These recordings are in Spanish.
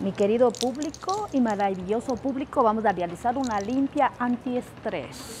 Mi querido público y maravilloso público, vamos a realizar una limpia antiestrés.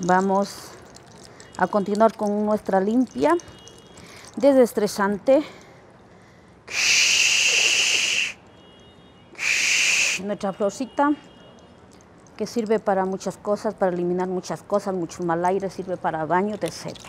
Vamos a continuar con nuestra limpia desestresante. Nuestra florcita que sirve para muchas cosas, para eliminar muchas cosas, mucho mal aire, sirve para baños, etcétera.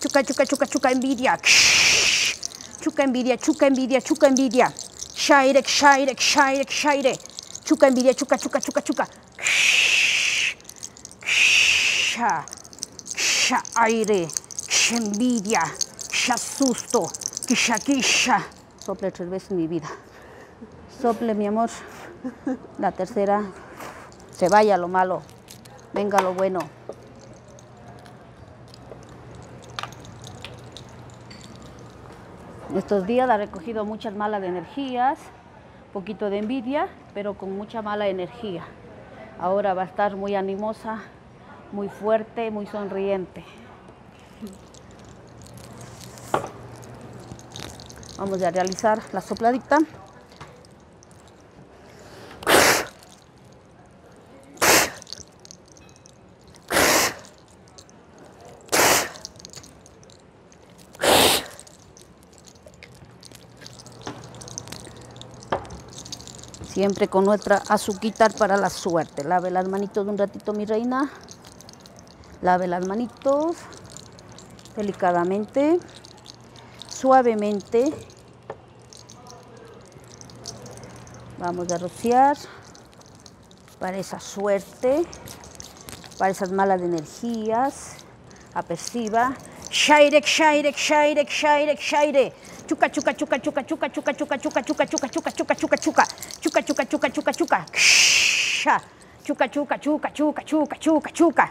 Chuca, chuca, chuca, chuca, envidia. Chuca, envidia, chuca, envidia, chuca, envidia. Shairek, shaire, Chuca, shaire. Chuca, envidia, chuca, chuca, chuca, chuca. Chuca, envidia, Chuca, susto, quisha, quisha. Sople tres veces mi vida. Sople, mi amor. La tercera, se vaya lo malo. Venga lo bueno. Estos días ha recogido muchas malas energías, poquito de envidia, pero con mucha mala energía. Ahora va a estar muy animosa, muy fuerte, muy sonriente. Vamos a realizar la sopladita. Siempre con nuestra azuquitar para la suerte. Lave las manitos de un ratito, mi reina. Lave las manitos delicadamente, suavemente Vamos a rociar para esa suerte, para esas malas energías. Aperciba. Shaire, shairek, shairek, shairek, shaire. Chuca, chuca, chuca, chuca, chuca, chuca, chuca, chuca, chuca, chuca, chuca, chuca, chuca. Chuca, chuca, chuca, chuca, chuca. Chuca, chuca, chuca, chuca, chuca, chuca, chuca, chuca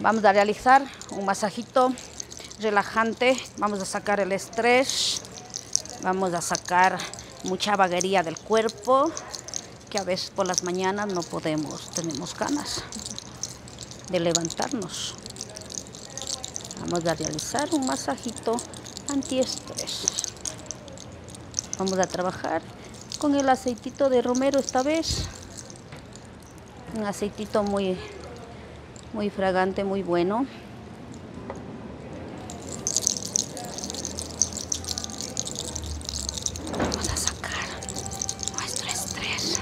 Vamos a realizar un masajito relajante. Vamos a sacar el estrés. Vamos a sacar mucha vaguería del cuerpo, que a veces por las mañanas no podemos, tenemos ganas de levantarnos. Vamos a realizar un masajito antiestrés. Vamos a trabajar con el aceitito de romero esta vez un aceitito muy muy fragante muy bueno vamos a sacar nuestro estrés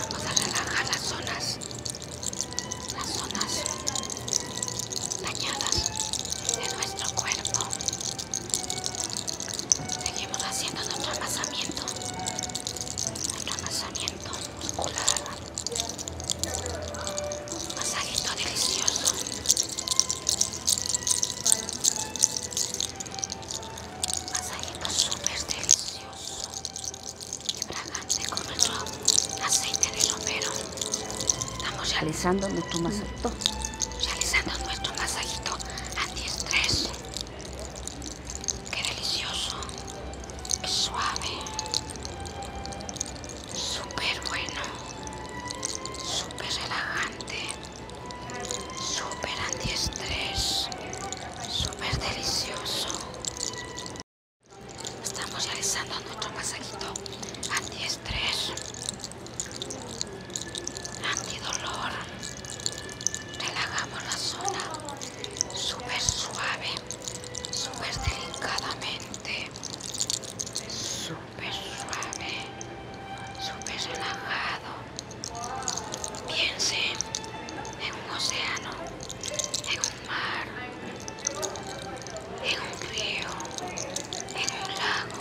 vamos a relajar las zonas las zonas dañadas de nuestro cuerpo seguimos haciendo nuestro amasamiento nuestro amasamiento muscular masajito delicioso masajito súper delicioso y fragante con nuestro aceite de romero estamos realizando nuestro masajito realizando nuestro masajito antiestrés Qué delicioso. qué suave. Súper bueno. Súper relajante. Súper antiestrés. Súper delicioso. Estamos realizando nuestro masajito antiestrés antidolor ah, relajamos la zona súper suave súper delicadamente súper suave súper relajado piensen en un océano en un mar en un río en un lago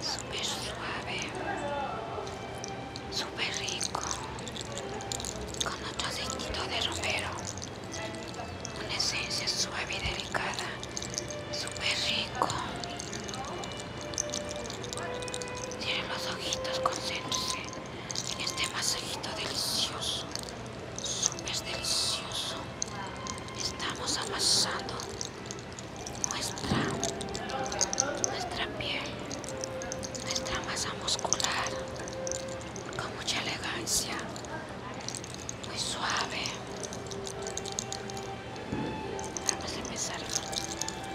Súper suave, súper suave, súper rico, con otro aceitito de romero, una esencia suave y delicada, Super rico. Tiene los ojitos, concéntrese. Este masajito delicioso, súper delicioso. Estamos amasando nuestra, nuestra piel, nuestra masa muscular con mucha elegancia, muy suave. Vamos a empezar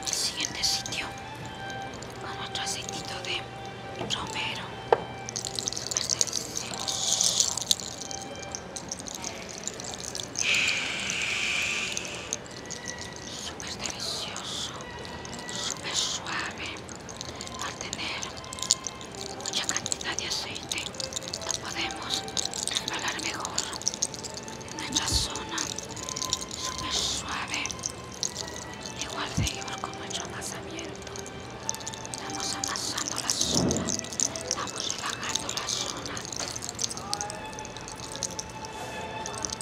el siguiente sitio con otro aceitito de Romero. super delicioso, super suave. Al tener mucha cantidad de aceite, lo podemos resbalar mejor en nuestra zona. Súper suave. Igual de igual con nuestro amasamiento Estamos amasando la zona. estamos relajando la zona.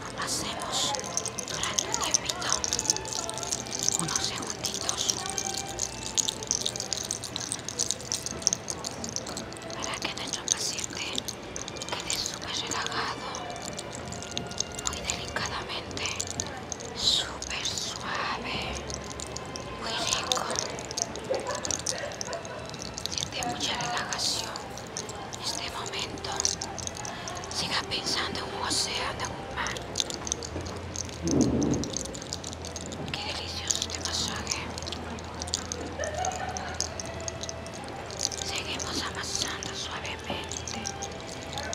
Amasemos durante un tiempito. Unos segunditos. Para que nuestro paciente quede súper relajado muy delicadamente, super suave, muy rico. Siente mucha relajación este momento. Siga pensando en un océano, en un mar. Qué delicioso este masaje. Seguimos amasando suavemente.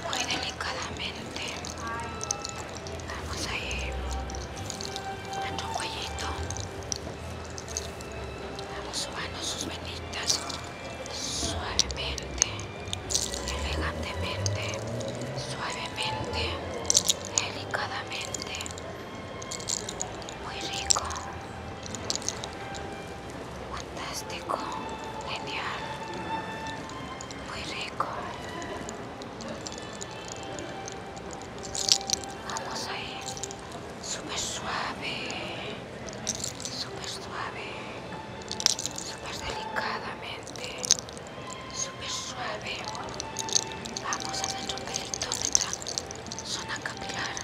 Muy delicadamente delicadamente ir a nuestro cuellito vamos subiendo sus venitas suavemente elegantemente suavemente delicadamente muy rico fantástico genial muy rico Vamos Vamos ahí. Súper suave. Súper suave. Súper delicadamente. Súper suave. Vamos a un pelito, nuestra zona capilar.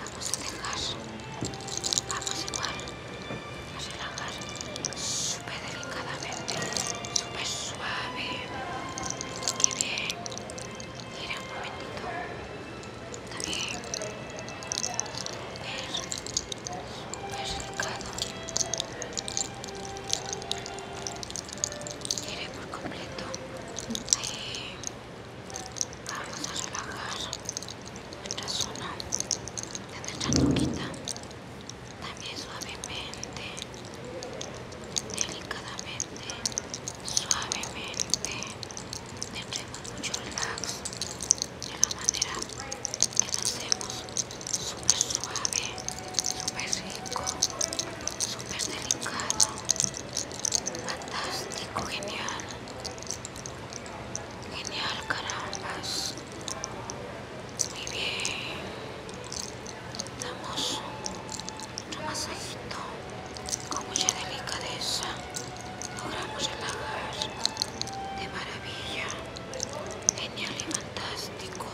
Vamos a dejar. Vamos igual. Las relajar súper delicadamente, súper suave. Qué bien. Mira un momentito. Está bien. Es, súper delicado. por completo. Ahí. Vamos a relajar zona, zona nuestra toquita también suavemente delicadamente suavemente tendremos mucho relax de la manera que lo hacemos súper suave súper rico súper delicado fantástico genial genial carambas muy bien. Damos un masajito con mucha delicadeza. Logramos relajar de maravilla. Genial y fantástico.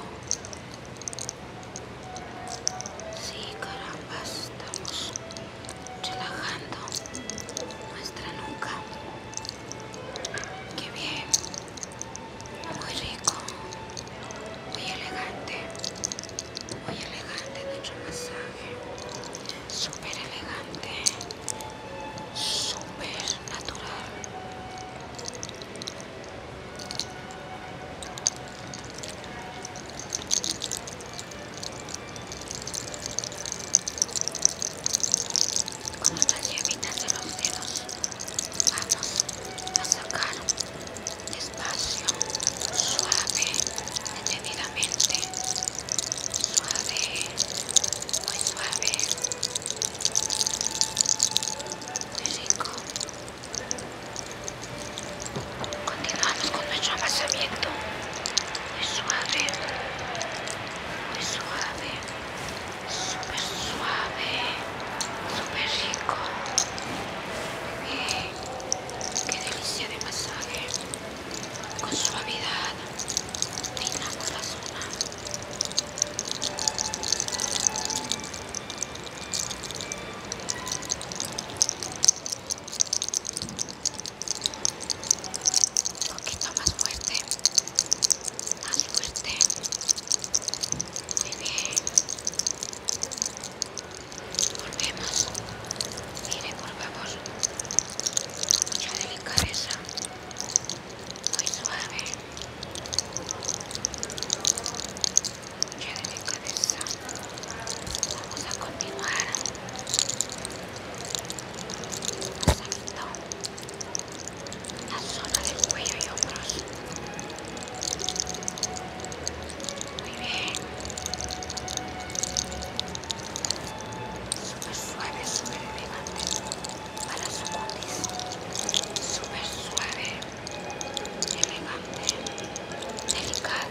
Sí, caramba, estamos relajando nuestra nuca. Qué bien. Muy rico. Muy elegante. Muy elegante nuestro masaje. Súper elegante. Súper natural con las llevitas de los dedos vamos a sacar despacio suave detenidamente suave muy suave muy rico continuamos con nuestro amasamiento muy suave muy suave súper suave, súper rico. qué delicia de masaje. Con suavidad peinamos la zona. Un poquito más fuerte más fuerte. Muy bien. Volvemos. Mire, volvemos. Con mucha delicadeza. Muy suave. Mucha delicadeza. Vamos a continuar la zona del cuello y hombros. Muy bien. Súper suave, súper elegante para su cutis. Súper suave, elegante, delicado.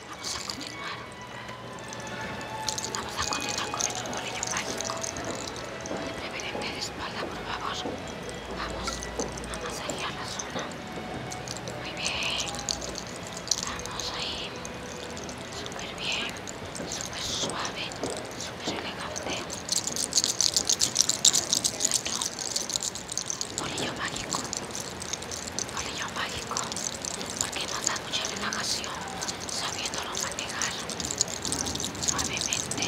Vamos a continuar. Vamos a continuar con nuestro bolillo mágico. De preferencia de espalda, por favor. Vamos a la zona. Muy bien. Vamos ahí. Súper bien. Súper suave. Súper elegante bolillo mágico, bolillo mágico, porque nos da mucha relajación sabiéndolo manejar suavemente,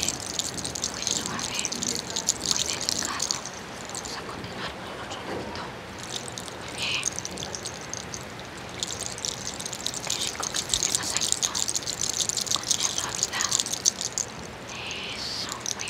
muy suave, muy delicado. Vamos a continuar con el otro ladito. Muy bien. Qué rico que esté de masajito con mucha suavidad. Eso, muy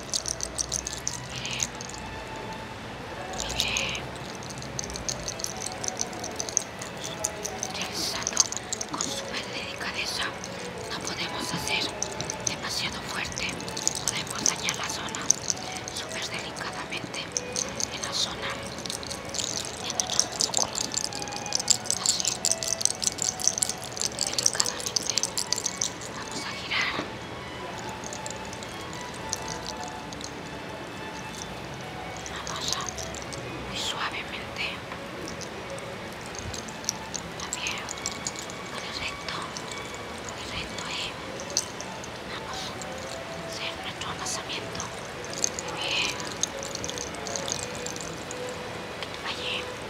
Mire, mire. con super delicadeza, no podemos hacer demasiado fuerte, podemos dañar la zona super delicadamente en la zona de nuestros músculos así delicadamente. Vamos a girar. Vamos a muy suavemente. También con el recto, con el recto ahí, vamos a hacer nuestro amasamiento. Muy bien. Allí.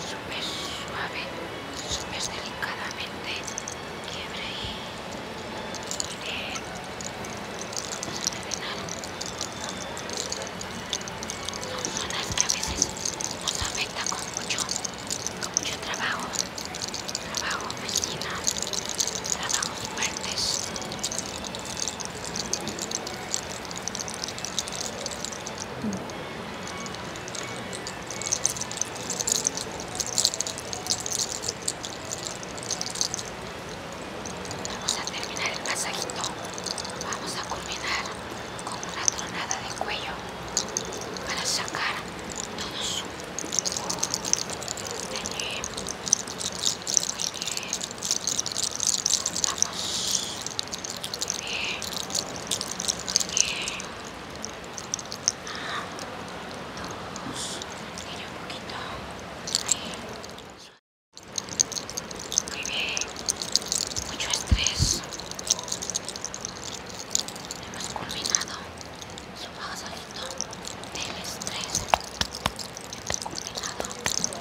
súper suave, súper delicadamente quiebre y bien. no se nada Son zonas que a veces nos afectan con mucho, con mucho trabajo, trabajo oficina, trabajos fuertes. Vamos a terminar el pasajito. Vamos a culminar con una tronada de cuello para sacar todo oh, su muy bien, muy bien. Ah, dos, ir un poquito. Ahí, muy bien. Mucho estrés. Hemos culminado. Supongo que salió del estrés. Hemos culminado.